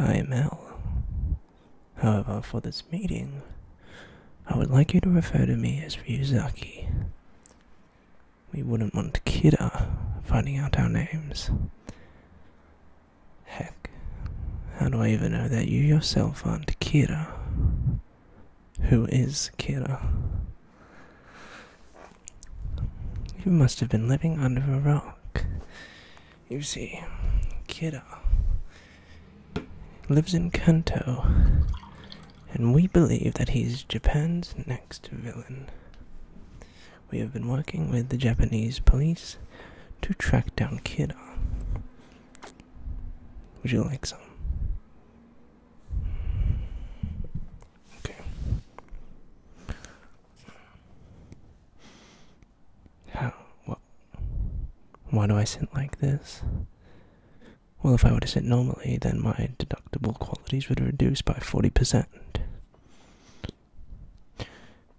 I am Al. However, for this meeting, I would like you to refer to me as Ryuzaki. We wouldn't want Kidder finding out our names. Heck, how do I even know that you yourself aren't Kira? Who is Kira? You must have been living under a rock. You see, Kira lives in Kanto, and we believe that he's Japan's next villain. We have been working with the Japanese police to track down Kida. Would you like some? Okay. How? What? Why do I sit like this? Well, if I were to sit normally, then my deductible qualities would reduce by 40%.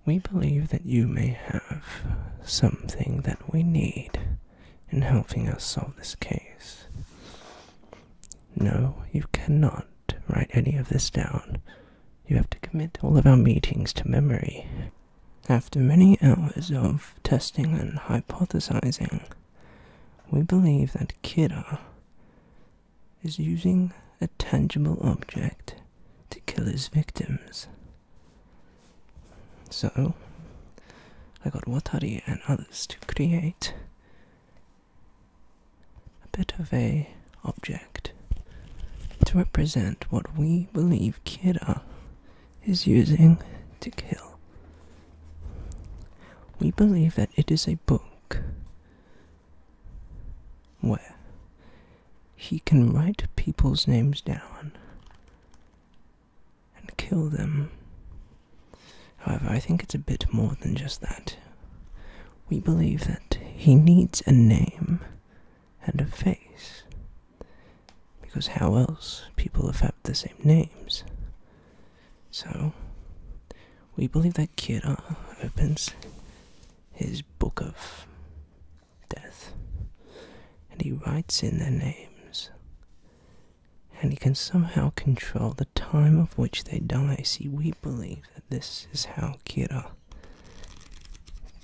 We believe that you may have something that we need in helping us solve this case. No, you cannot write any of this down. You have to commit all of our meetings to memory. After many hours of testing and hypothesizing, we believe that Kira is using a tangible object to kill his victims. So, I got Watari and others to create a bit of a object to represent what we believe Kira is using to kill. We believe that it is a book where he can write people's names down and kill them. However, I think it's a bit more than just that. We believe that he needs a name and a face. Because how else people have had the same names? So, we believe that Kira opens his book of death, and he writes in their names. And he can somehow control the time of which they die. See, we believe that this is how Kira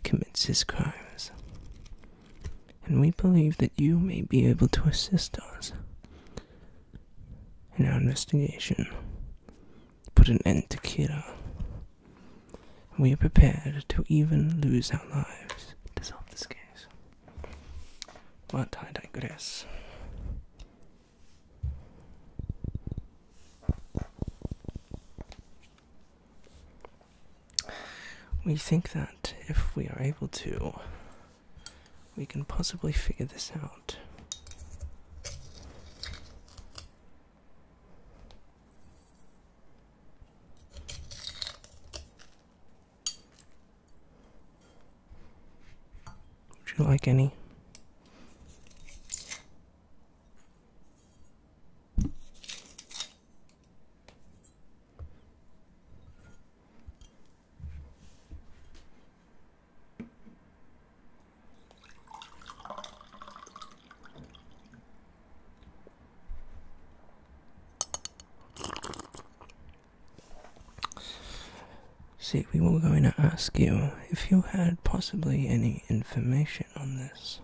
commits his crimes. And we believe that you may be able to assist us in our investigation put an end to Kira. We are prepared to even lose our lives to solve this case. But I digress. We think that if we are able to, we can possibly figure this out. Would you like any? See, we were going to ask you if you had possibly any information on this.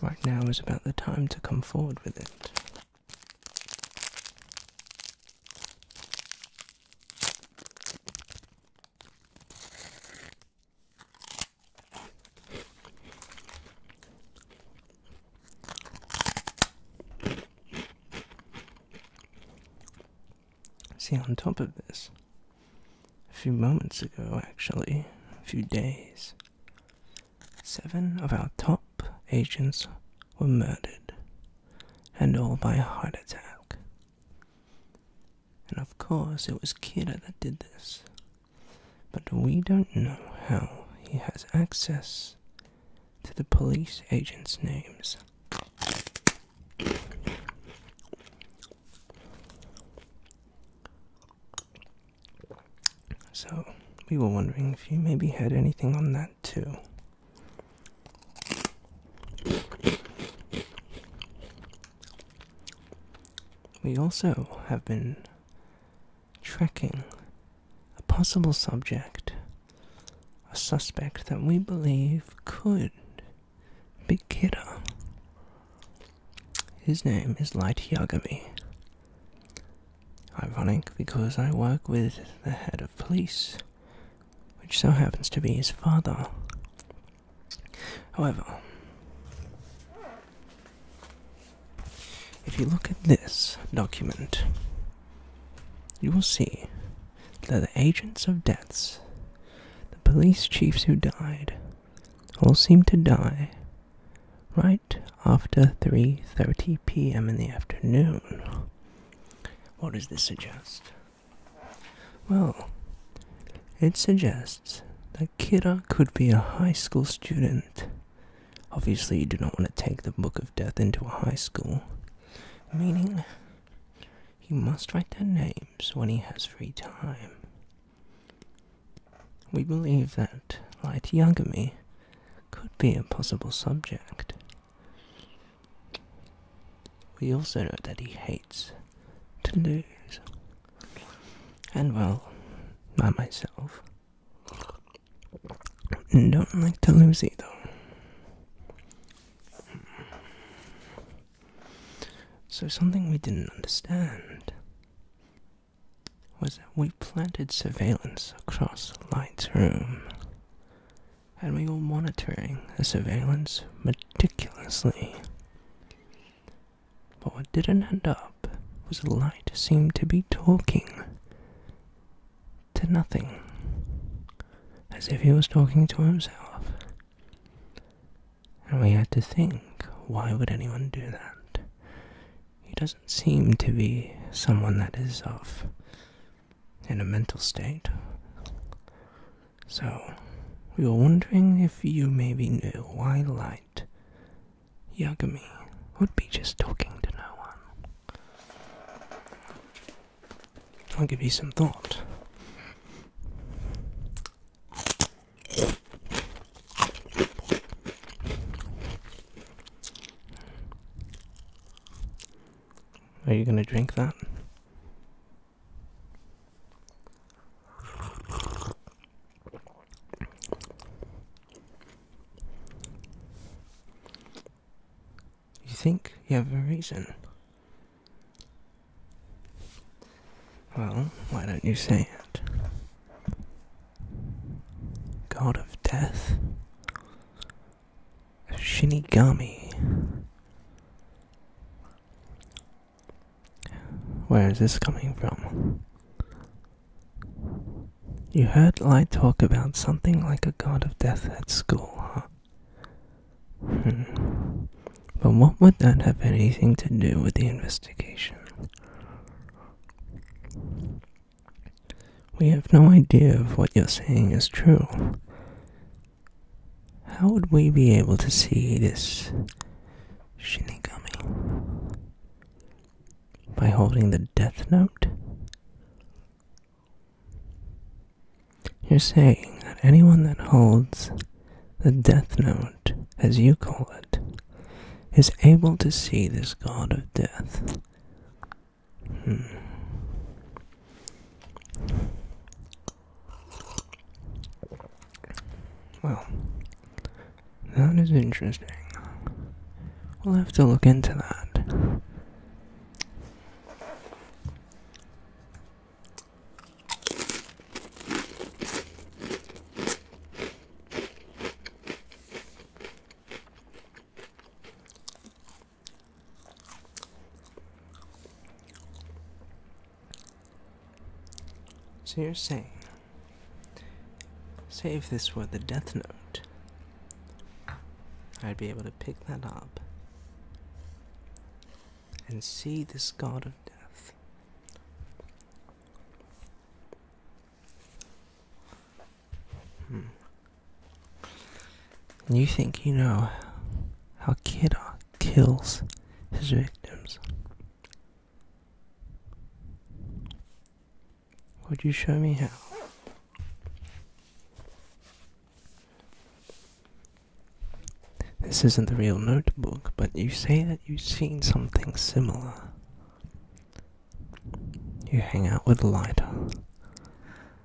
Right now is about the time to come forward with it. See, on top of this, a few moments ago, actually, a few days, seven of our top agents were murdered and all by a heart attack. And of course, it was Kira that did this. But we don't know how he has access to the police agents' names. So, we were wondering if you maybe had anything on that too. We also have been tracking a possible subject, a suspect that we believe could be Kidda. His name is Light Yagami. Ironic because I work with the head of police which so happens to be his father. However, if you look at this document, you will see that the agents of deaths, the police chiefs who died, all seem to die right after 3:30 p.m. in the afternoon. What does this suggest? Well, it suggests that Kira could be a high school student. Obviously, you do not want to take the Book of Death into a high school, meaning he must write their names when he has free time. We believe that Light Yagami could be a possible subject. We also know that he hates to lose. And well, I myself don't like to lose either. So, something we didn't understand was that we planted surveillance across Light's room and we were monitoring the surveillance meticulously. But what didn't end up was the light seemed to be talking to nothing, as if he was talking to himself. And we had to think, why would anyone do that? He doesn't seem to be someone that is of in a mental state. So, we were wondering if you maybe knew why light Yagami would be just talking to no one. I'll give you some thought. Are you gonna drink that? You think you have a reason? Well, why don't you say it? God of death, Shinigami. Where is this coming from? You heard Light talk about something like a god of death at school, huh? Hmm. But what would that have anything to do with the investigation? We have no idea if what you're saying is true. How would we be able to see this Shinigami? By holding the death note? You're saying that anyone that holds the death note, as you call it, is able to see this god of death Hmm. Well, that is interesting. We'll have to look into that. So you're saying, say if this were the Death Note, I'd be able to pick that up and see this god of death. Hmm. You think you know how Kedar kills his victims? Would you show me how? This isn't the real notebook, but you say that you've seen something similar. You hang out with Lighter.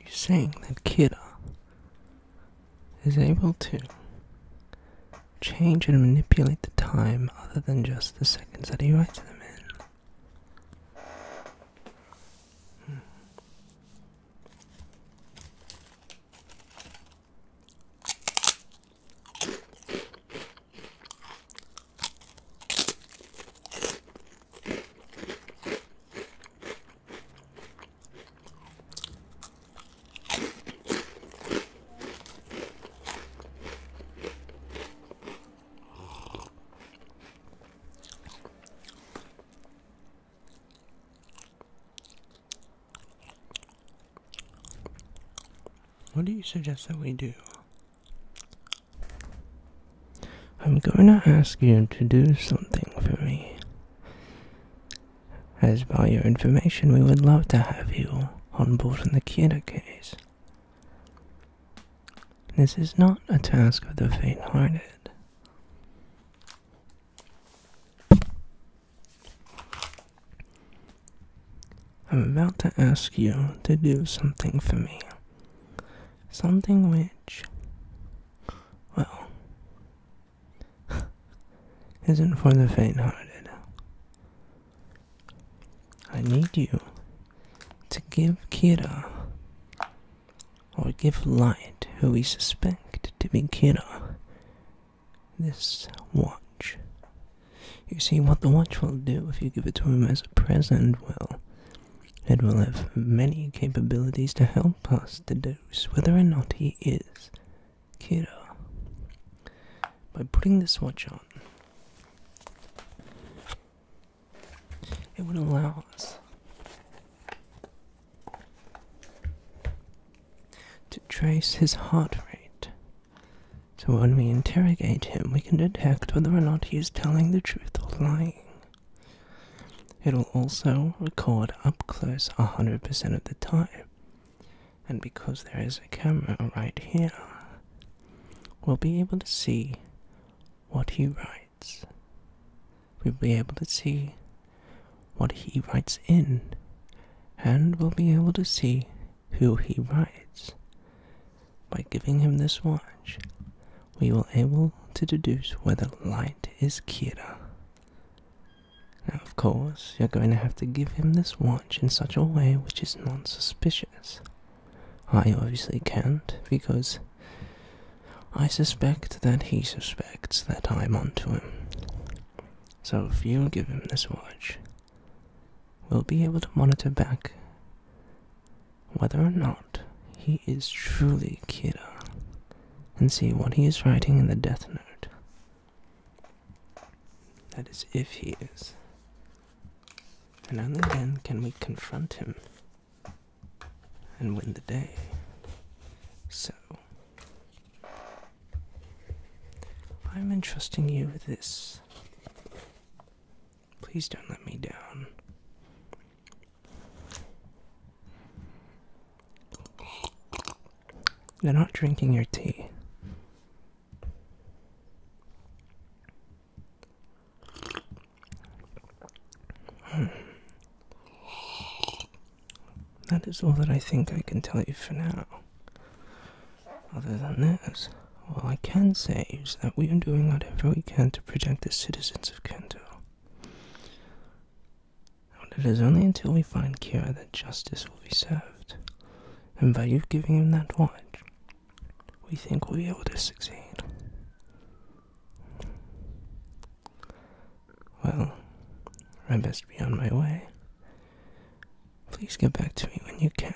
You're saying that Kida is able to change and manipulate the time other than just the seconds that he writes them in. What do you suggest that we do? I'm going to ask you to do something for me. As by your information, we would love to have you on board in the Kira case. This is not a task for the faint hearted. I'm about to ask you to do something for me. Something which well, isn't for the faint-hearted. I need you to give Kira, or give Light, who we suspect to be Kira, this watch. You see, what the watch will do if you give it to him as a present Well. It will have many capabilities to help us deduce whether or not he is Kira. By putting this watch on, it would allow us to trace his heart rate. So when we interrogate him, we can detect whether or not he is telling the truth or lying. It'll also record up close 100% of the time. And because there is a camera right here, we'll be able to see what he writes. We'll be able to see what he writes in, and we'll be able to see who he writes. By giving him this watch, we will be able to deduce whether light is Kira. Now, of course, you're going to have to give him this watch in such a way which is non-suspicious. I obviously can't, because I suspect that he suspects that I'm onto him. So if you give him this watch, we'll be able to monitor back whether or not he is truly Kira and see what he is writing in the death note. That is, if he is. And only then can we confront him and win the day. So, I'm entrusting you with this. Please don't let me down. You're not drinking your tea. Hmm. That is all that I think I can tell you for now. Other than this. All I can say is that we are doing whatever we can to protect the citizens of Kanto. And it is only until we find Kira that justice will be served. And by you giving him that watch, we think we'll be able to succeed. Well, I best be on my way. Please get back to me when you can.